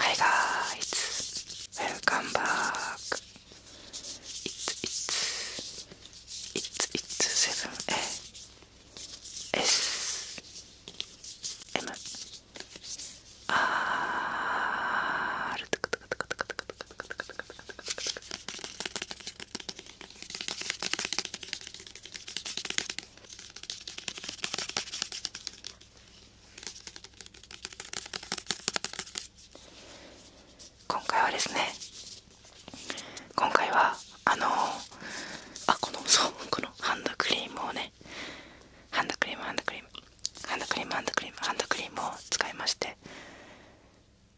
Hi guys, welcome back. It's it's it's it's seven A eh? S M R. Ah, 今回はですね今回はあのー、あこのそうこのハンドクリームをねハンドクリームハンドクリームハンドクリームハンドクリームハンドクリームを使いまして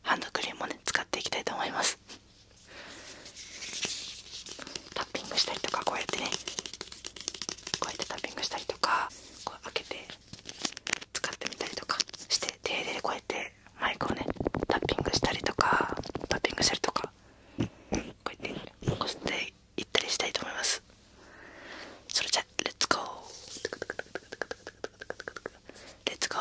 ハンドクリームをね使っていきたいと思いますタッピングしたりとかこうやってねこうやってタッピングしたりとかこう開けて使ってみたりとかして手入れでこうやってマイクをねタッピングしたりとかタッピングしたりとかこうやって残していったりしたいと思いますそれじゃレッツゴーレッツゴー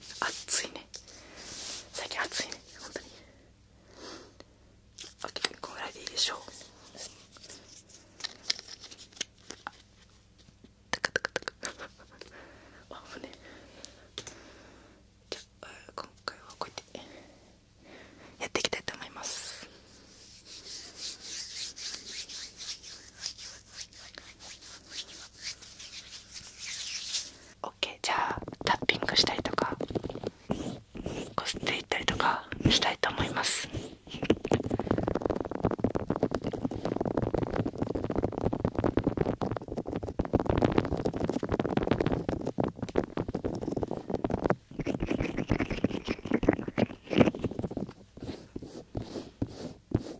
暑いね最近暑いね本当にオッケーこんぐらいでいいでしょうタ高タカタカあぶねじゃあ今回はこうやってやっていきたいと思います OK じゃあタッピングしたりとかこすっていったりとかしたいと思います。ちょっ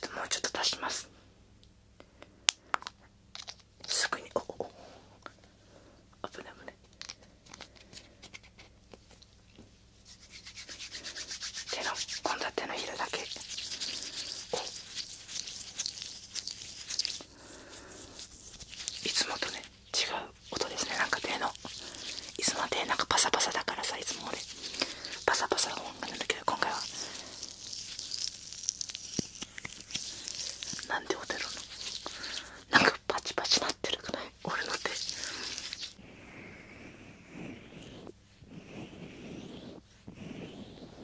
ともうちょっと足しますすぐにおおお危ない危ない手の今度は手のひらだけおいつもとね違う音ですねなんか手のいつもは手なんかパサパサだからさいつも俺パサパサな音がなんだけど今回は何で音てるのなんかパチパチなってるくない俺の手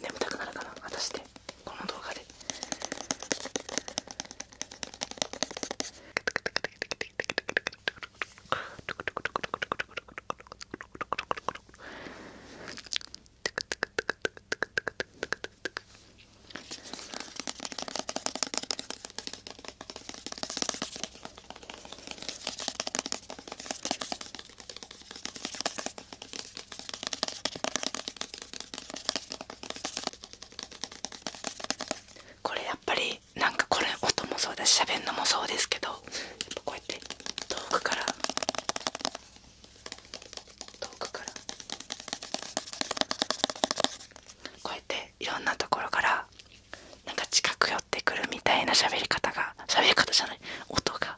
眠たくなるかな私でこの動画でこれやっぱりなんかこれ音もそうだし喋るのもそうですけどやっぱこうやって遠くから遠くからこうやっていろんなところからなんか近く寄ってくるみたいな喋り方が喋り方じゃない音が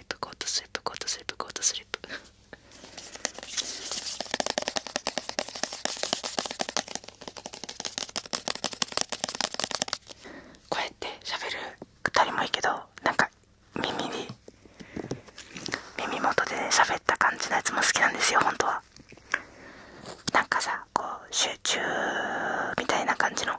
リップコートスリップコートスリップコートスリップこうやって喋る人もいいけどなんか耳に耳元で喋った感じのやつも好きなんですよ本当はなんかさこう集中みたいな感じの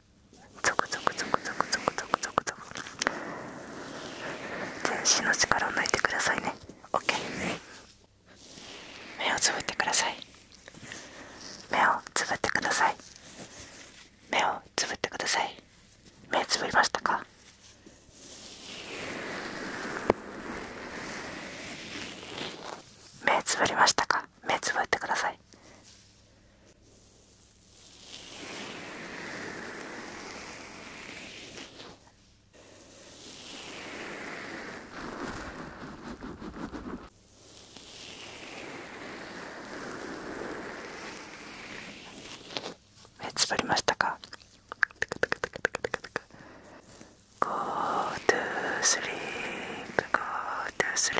ゾクゾクゾクゾクゾクゾクゾクゾク全身の力を抜いてくださいね OK 目をつぶってください目をつぶってください目をつぶってください目つぶりましたか目つぶりましたか目つぶってください目つぶりましたか Go to sleep, go to sleep.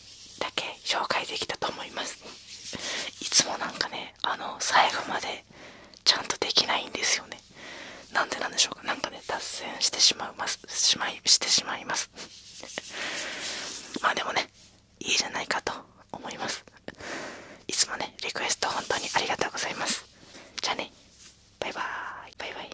だけ紹介できたと思いますいつもなんかねあの最後までちゃんとできないんですよねなんでなんでしょうか何かね脱線してしまいますしまいしてしまいますまあでもねいいじゃないかと思いますいつもねリクエスト本当にありがとうございますじゃあねバイバーイバイバイ